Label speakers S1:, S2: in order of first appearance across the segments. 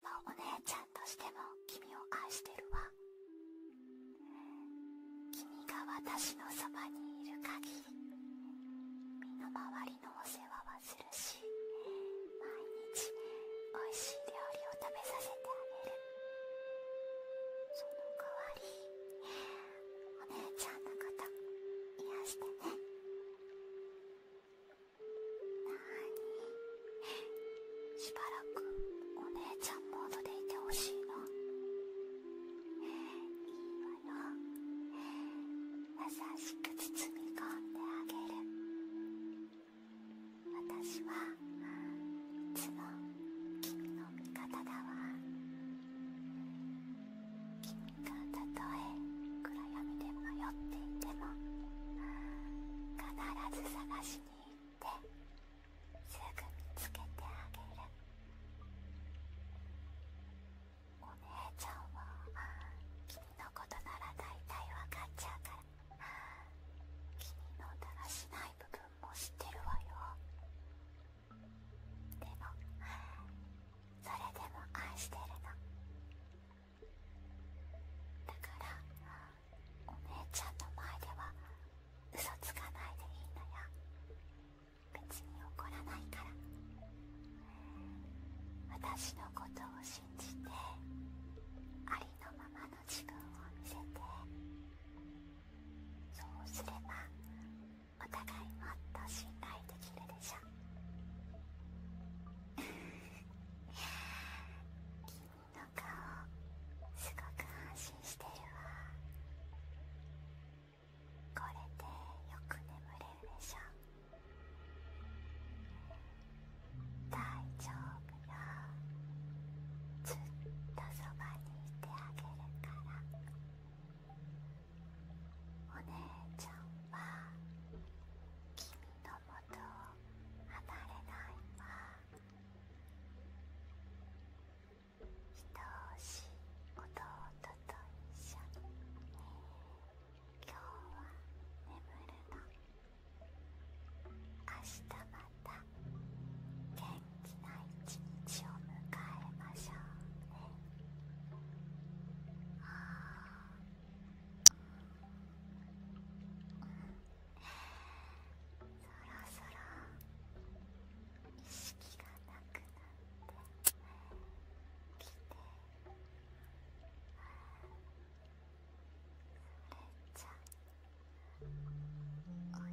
S1: もお姉ちゃんとしても君を愛してるわ君が私のそばにいる限り身の回りのお世話はするし毎日おいしい料理を食べさせてあげるその代
S2: わりお姉ちゃんのこと癒してねにしばらくお姉ちゃんモードでいてほしいのいいわよ優しく包み込んであげる私はいつも君の味方だわ君がたとえ暗闇で迷っていても必ず探しに行ってすぐ見つけてあげるお姉ちゃんは君のことなら大体わかっちゃうから君のだらしない部分も知ってるわよでもそれでも愛してるのだからお姉ちゃんの前では嘘つかないでいいのよ別に怒らないから私のことを信じてありのままの自分を見せてそうすればお互いもっと信頼できるでしょの顔すごく安心してるわこれでよく眠れるでしょ大丈夫よずっとそばにいてあげるからお姉ちゃんは君の元を離れないわ愛おしい弟と一緒に今日は眠るの明日また元気な一日を迎えましょうねああそろそろ意識がなくなってきてそれじゃおやすみなさい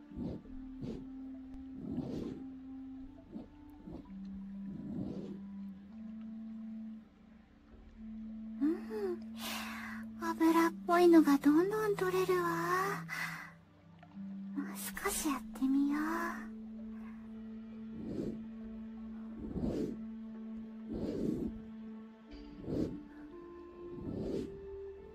S1: うん油っぽいのがどんどん取れるわもう少しやってみよううん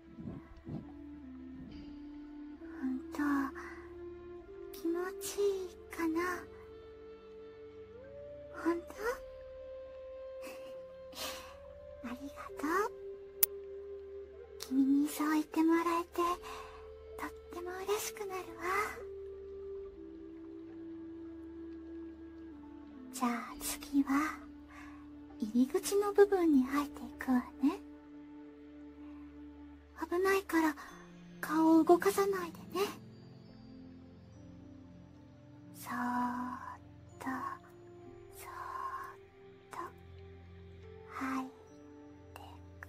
S1: んと気持ちいいかなほんとありがとう君にそう言ってもらえてとっても嬉しくなるわじゃあ次は入り口の部分に入っていくわね危ないから顔を動かさないでねそっとそっと入ってく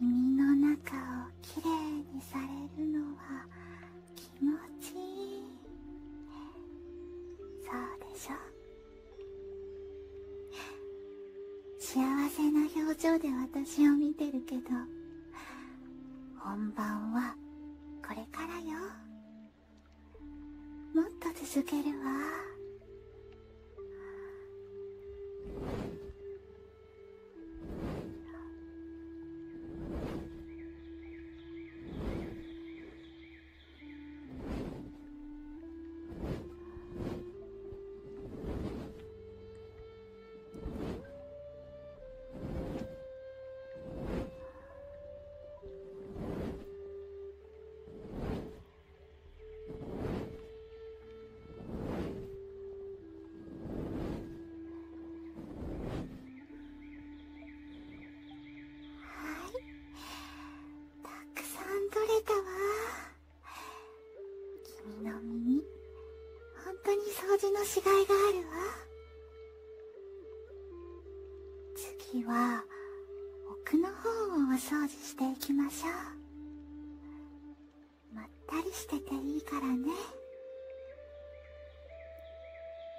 S2: 耳の中をきれいにされるのは気持
S1: ちいいそうでしょ幸せな表情で私を見てるけど本番はこれからよもっと続けるわたくさん取れたわ君の耳本当に掃除のしがいがあるわ次は奥の方をお掃除していきましょうまったりしてていいからね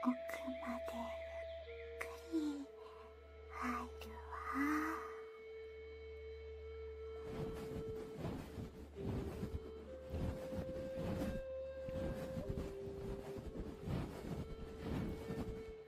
S1: 奥まで
S2: ゆっくり入るわ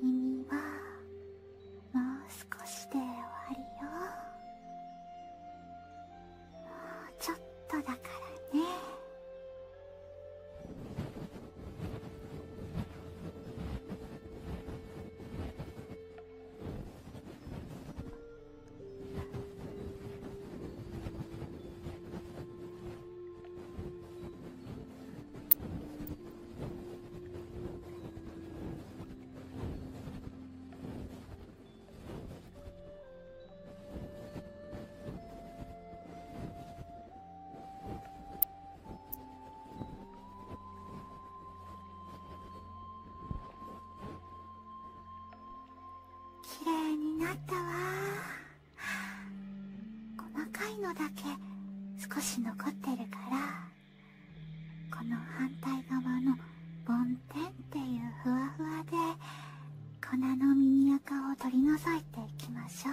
S2: 君はもう少しで終わりよもうちょっとだからね
S1: きれいになったわ細かいのだけ少し残ってるからこの反対側の梵天っていうふわふわで粉のミニアカを取り除いていきましょう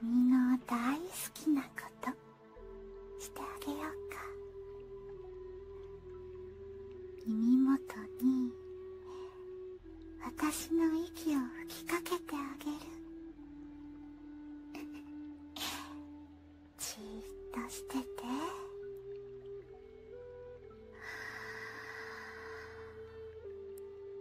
S1: 君の大好きなことしてあげようか耳元に私の息を吹きかけてあげる
S2: じっとしてて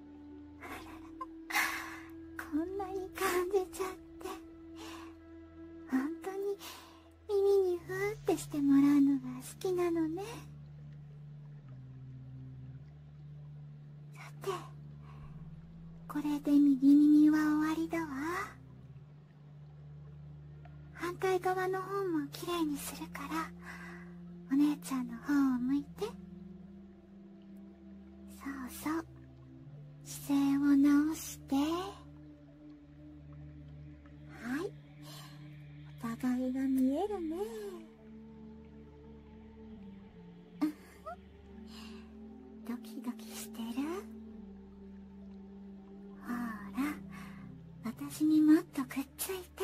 S1: あらら、こんなにんでちゃって本当に耳にふーってしてもらうのが好きなのねさてこれで右耳は終わりだわ反対側の方もきれいにするからお姉ちゃんの方を向いそうそう姿勢を直してはいお互いが見えるね ドキドキしてるほら私にもっとくっついて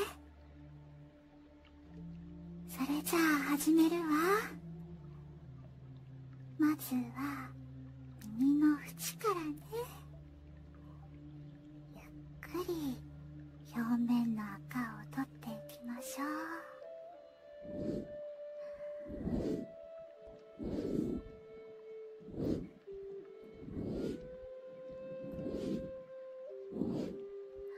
S1: それじゃあ始めるわまずは耳の縁からねゆっくり表面の赤を取っていきましょう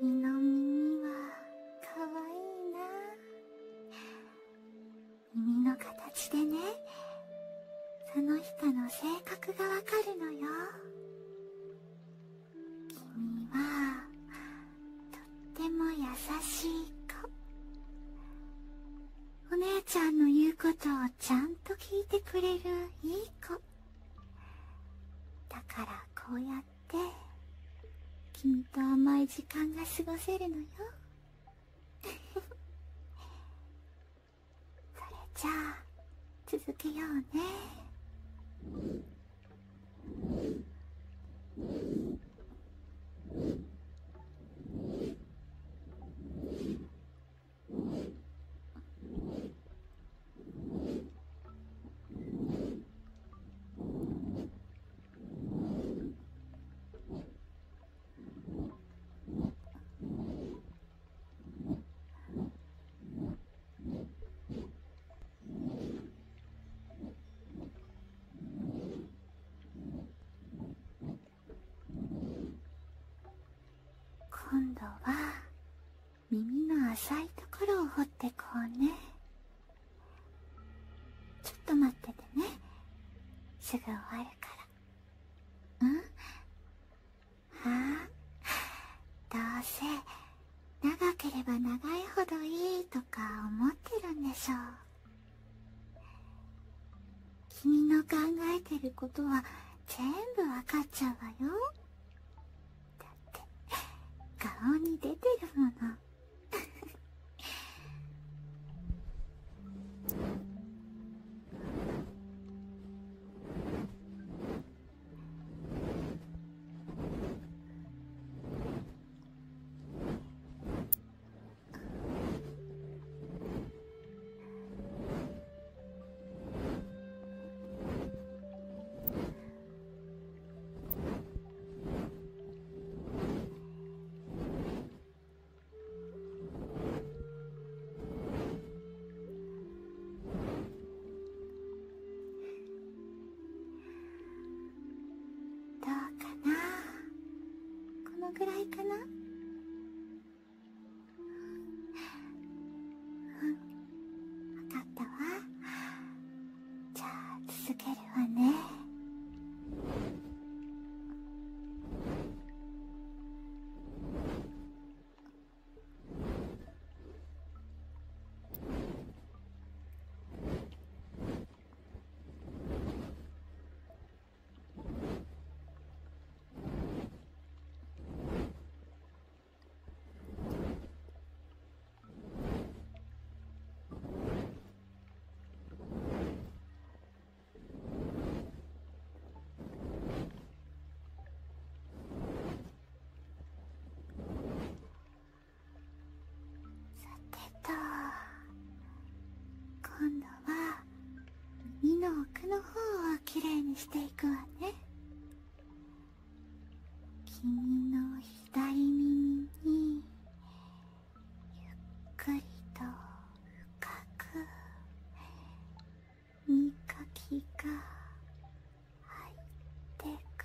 S1: 君の耳はかわいいな耳の形でねその人の性格がわかるのよ君はとっても優しい子お姉ちゃんの言うことをちゃんと聞いてくれるいい子だからこうやって君と甘い時間が過ごせるのよ それじゃあ続けようね 今度は耳の浅いところを掘ってこうねちょっと待っててねすぐ終わるからうんはあどうせ長ければ長いほどいいとか思ってるんでしょう君の考えてることは全部わかっちゃうわよって顔に出てるもの どうかなこのぐらいかな分かったわじゃあ続けるわねさてと今度は耳の奥の方をきれいにしていくわね。君の左耳にゆっくりと深く耳かきが
S2: 入ってく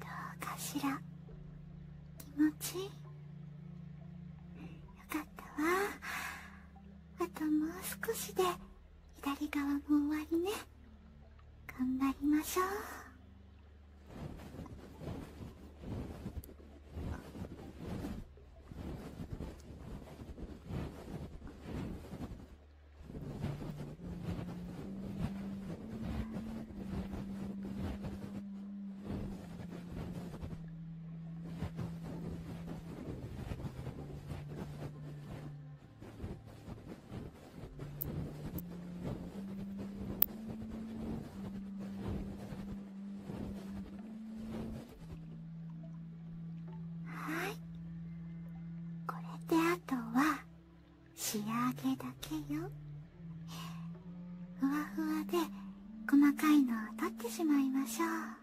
S2: どうか
S1: しら気持ちいいよかったわあともう少しで左側も終わりね頑張りましょうはいこれであとは仕上げだけよふわふわで細かいのを取ってしまいましょう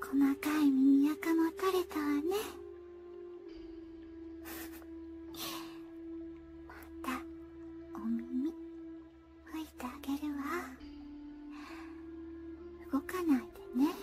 S1: 細かい耳垢も取れたわねまたお耳拭いてあげるわ動かないでねふふ。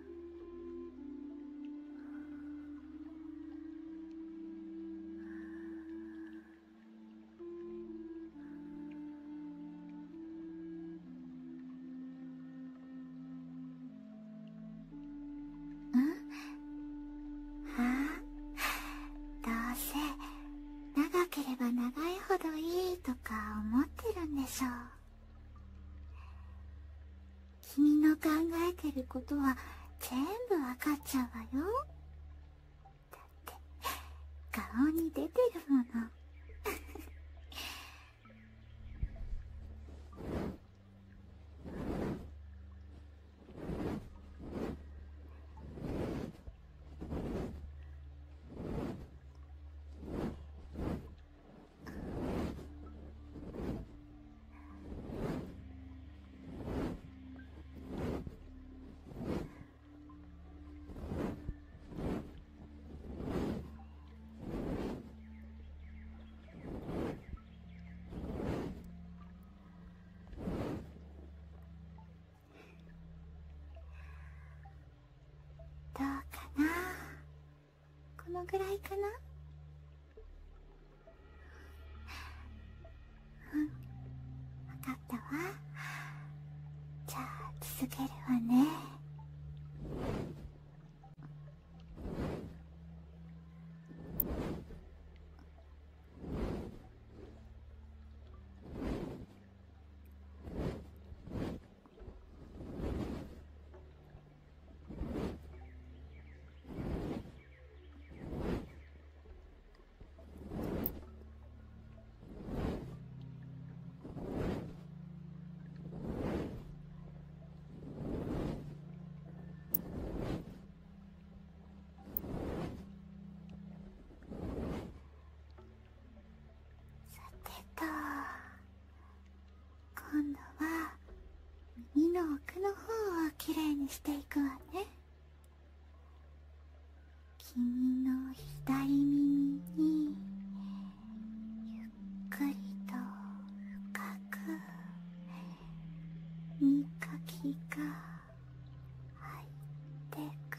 S1: どうせ長ければ長いほどいいとか思ってるんでしょう君の考えてることは全部わかっちゃうわよだって顔に出てるもの どうかなこのぐらいかなうん分
S2: かったわじゃあ続けるわねさて
S1: と今度は耳の奥の方をきれいにしていくわね君の左耳にゆっくりと
S2: 深く耳かきが入ってく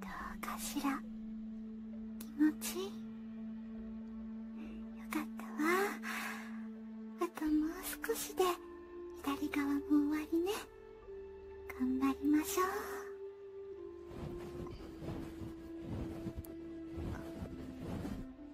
S1: どうかしら気持ちいいよかったわあともう少しで左側も終わりね頑張りましょう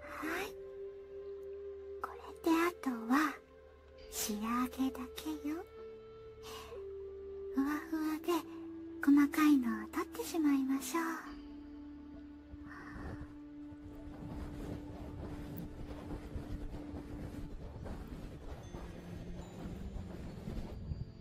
S1: はいこれであとは仕上げだけよふわふわで細かいのを取ってしまいましょう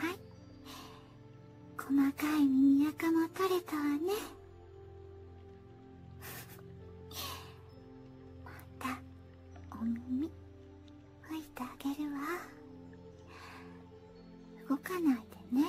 S1: はい細かい耳垢も取れたわねまたお耳拭いてあげるわ動かないでね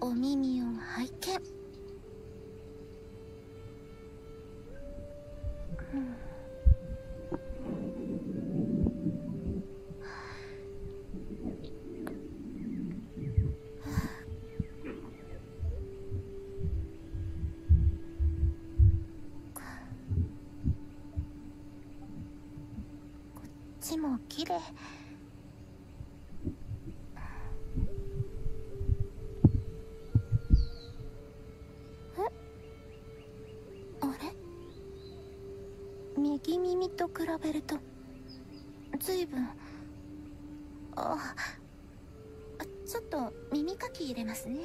S1: お耳を拝見、うん、こっちもきれいえあれ右耳と比べるとずいぶんあっあ、ちょっと耳かき入れますね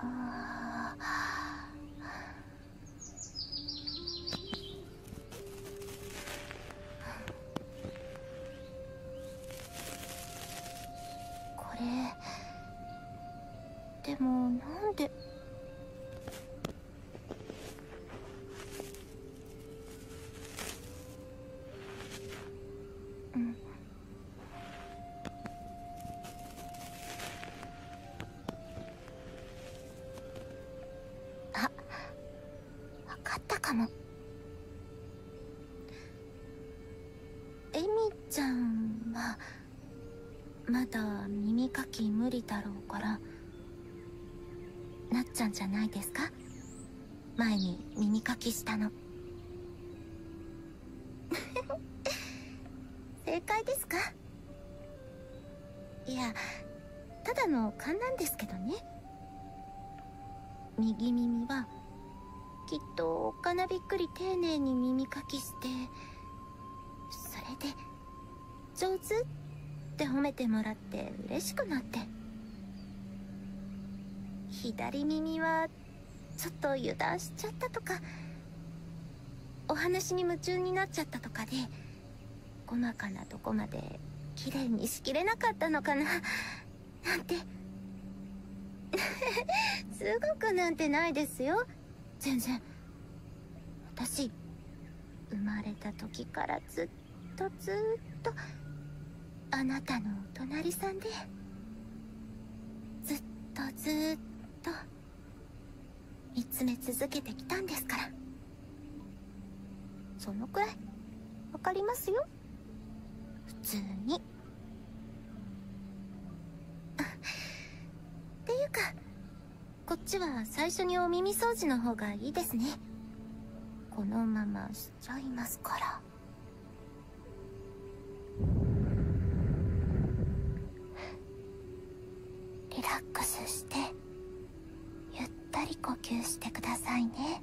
S1: ああこれでもなんであっ分かったかもエミちゃんはまだ耳かき無理だろうからなっちゃんじゃないですか前に耳かきしたの 正解ですかいやただの勘なんですけどね右耳はきっとおっびっくり丁寧に耳かきしてそれで上手って褒めてもらって嬉しくなって左耳はちょっと油断しちゃったとかお話に夢中になっちゃったとかで細かなとこまで綺麗にしきれなかったのかななんて すごくなんてないですよ全然私生まれた時からずっとずっとあなたのお隣さんでずっとずっと見つめ続けてきたんですからそのくらい分かりますよ普通にっていうかこっちは最初にお耳掃除の方がいいですねこのまましちゃいますからリラックスしてゆったり呼吸してくださいね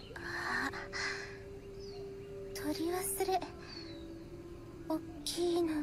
S1: 取り忘れおっきいのも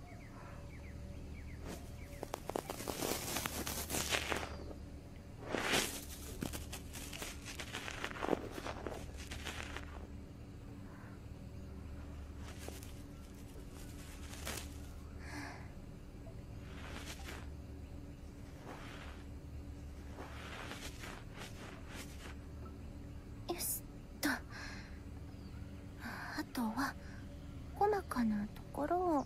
S1: よし。とは細かなところを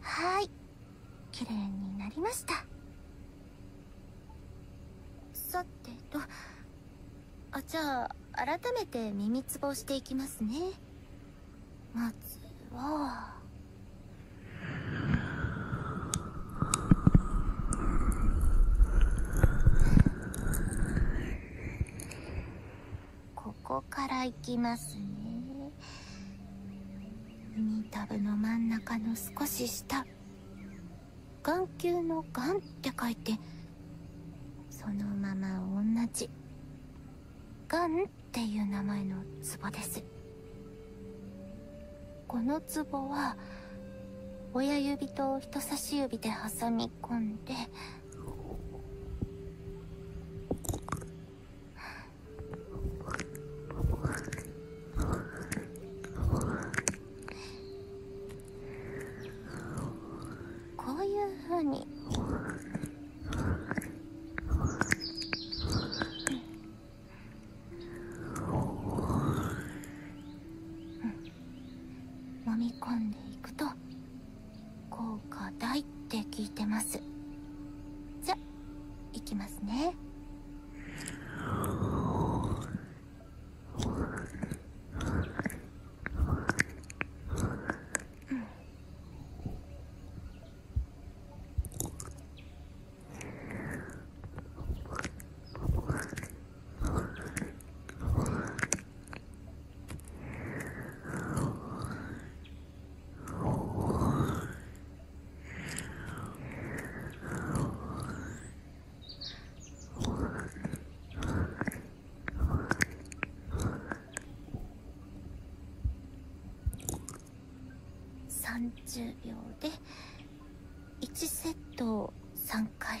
S1: はい綺麗になりましたさてとあじゃあ改めて耳つぼしていきますねまずはここから行きますね耳たぶの真ん中の少し下眼球の眼って書いてそのまま同じ眼っていう名前のツボですこのツボは親指と人差し指で挟み込んでこういうふうにう飲み込んでいくと効果大って聞いてますじゃ行きますね30秒で1セットを3回。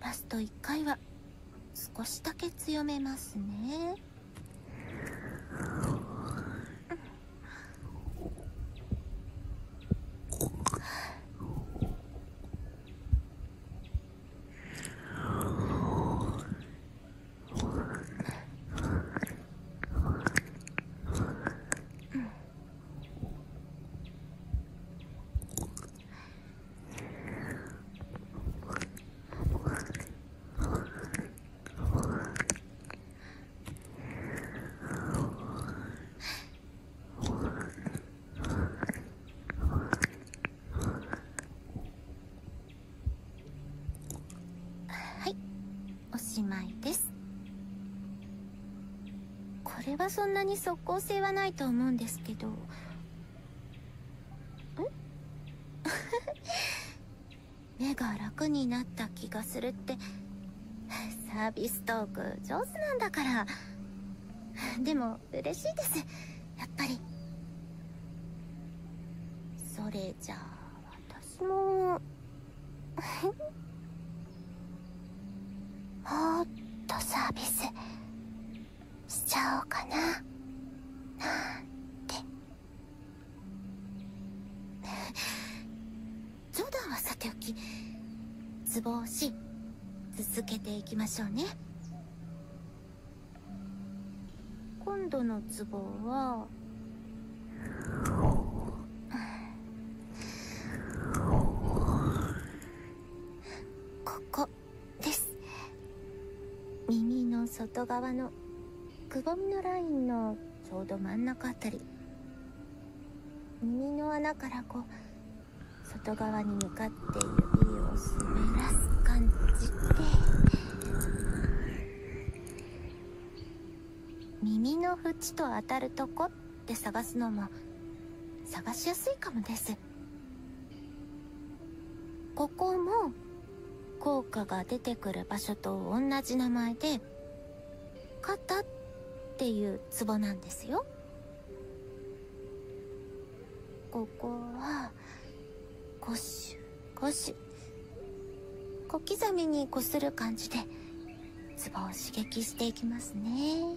S1: ラスト1回は少しだけ強めますねはいおしまいですこれはそんなに即効性はないと思うんですけどん 目が楽になった気がするってサービストーク上手なんだからでも嬉しいですやっぱりそれじゃあ私ももっとサービスしちゃおうかななんて冗談はさておきツボ押し続けていきましょうね今度のツボはここです耳の外側のくぼみのラインのちょうど真ん中あたり耳の穴からこう外側に向かって指を滑らす感じで耳の縁と当たるとこっ探すのも探しやすいかもですここも効果が出てくる場所と同じ名前で肩っていうツボなんですよここはゴこしゅシュ。小刻みにこする感じでツボを刺激していきますね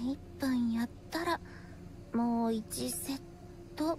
S1: 1分やったらもう1セット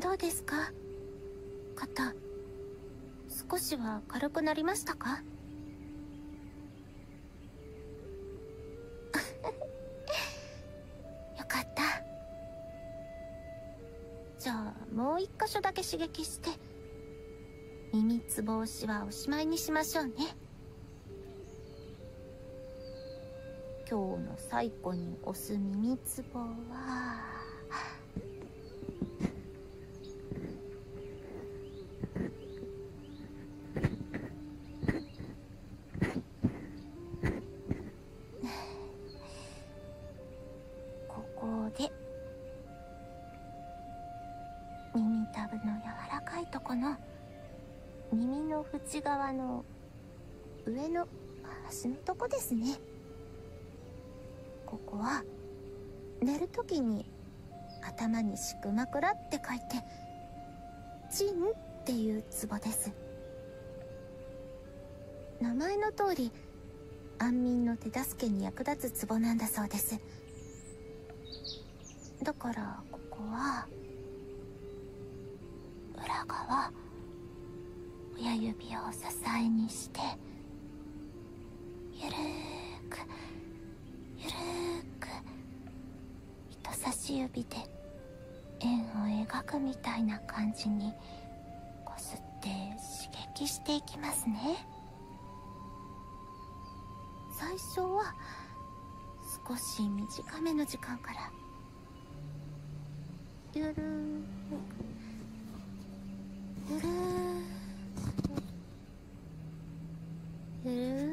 S1: どうですか肩少しは軽くなりましたか よかったじゃあもう一箇所だけ刺激して耳つぼ押しはおしまいにしましょうね今日の最後に押す耳ツボはここで耳たぶの柔らかいとこの耳の縁側の上の端のとこですねここは寝る時に頭に敷く枕って書いて「ちんっていうツボです名前の通り安眠の手助けに役立つツボなんだそうですだからここは裏側親指を支えにしてゆるーくゆるーく人差し指で円を描くみたいな感じにこすって刺激していきますね最初は少し短めの時間からゆるゆるゆるゆるゆる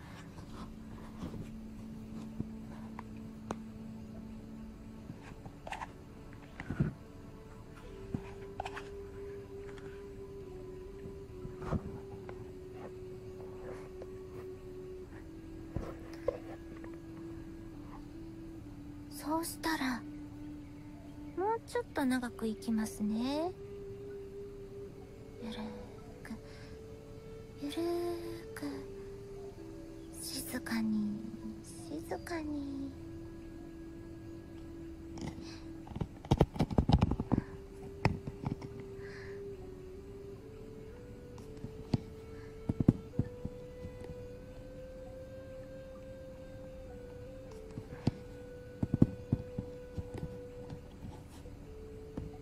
S1: そうしたらもうちょっと長くいきますね。ゆるく静かに静かに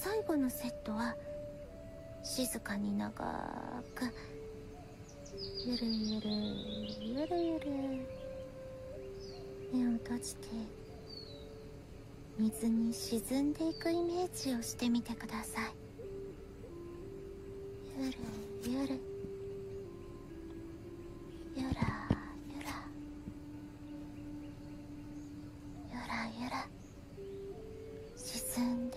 S1: 最後のセットは静かに長くゆるゆるゆるゆる目を閉じて水に沈んでいくイメージをしてみてくださいゆるゆるゆらゆらゆらゆら
S2: 沈んで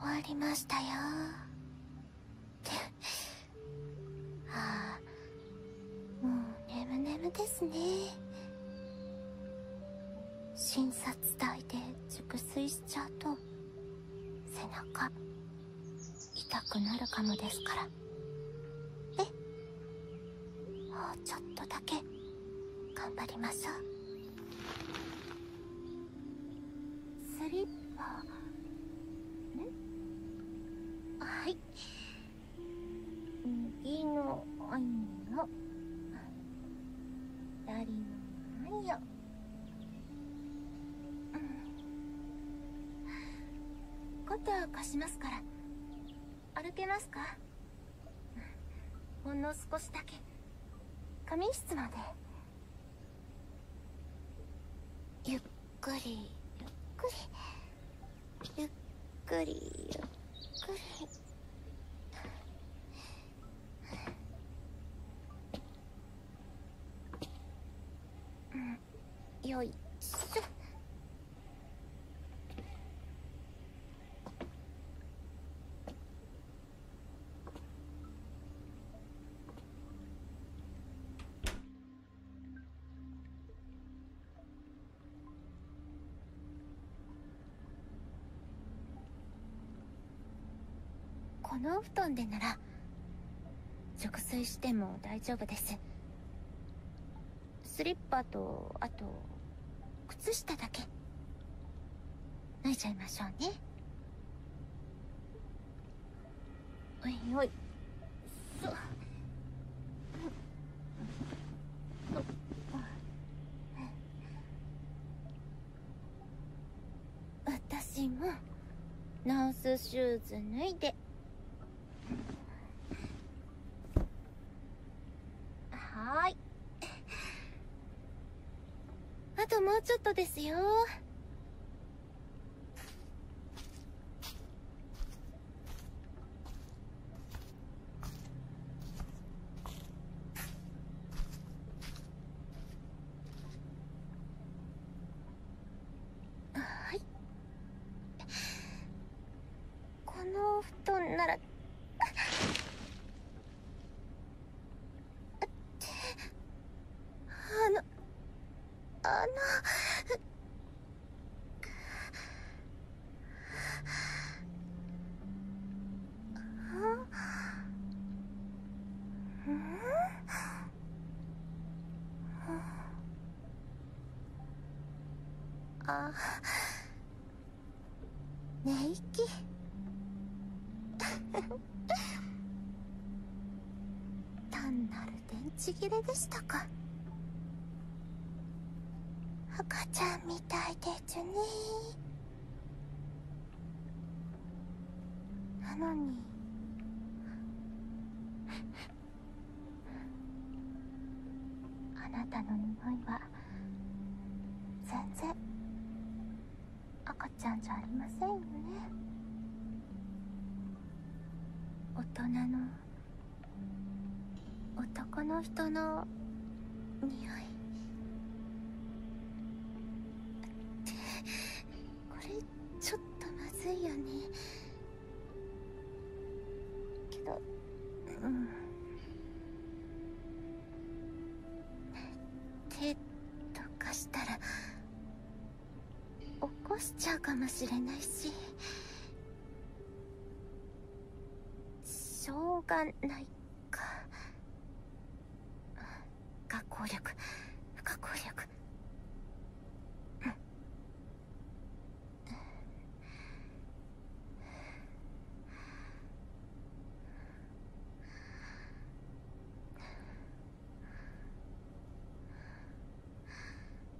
S1: 終わりましたよ ああもう眠眠ですね診察台で熟睡しちゃうと背中痛くなるかもですからえっもうちょっとだけ頑張りましょうスリッパはい右の愛を左の愛を肩貸しますから歩けますかほんの少しだけ仮眠室までゆっくりゆっくり。ゆっくりゆっくり。うん、よいしょ。このお布団でなら熟睡しても大丈夫ですスリッパとあと靴下だけ脱いちゃいましょうねおいおい私もナースシューズ脱いではいあともうちょっとですよはいこのお布団ならってあのあのあ寝息 単なる電池切れでしたか赤ちゃんみたいでジュニ。なのにあなたの匂いは全然赤ちゃんじゃありませんよね大人の男の人の匂いってこれちょっとまずいよねけどうん手とかしたら起こしちゃうかもしれないし。しょうがないか学校力学校力うん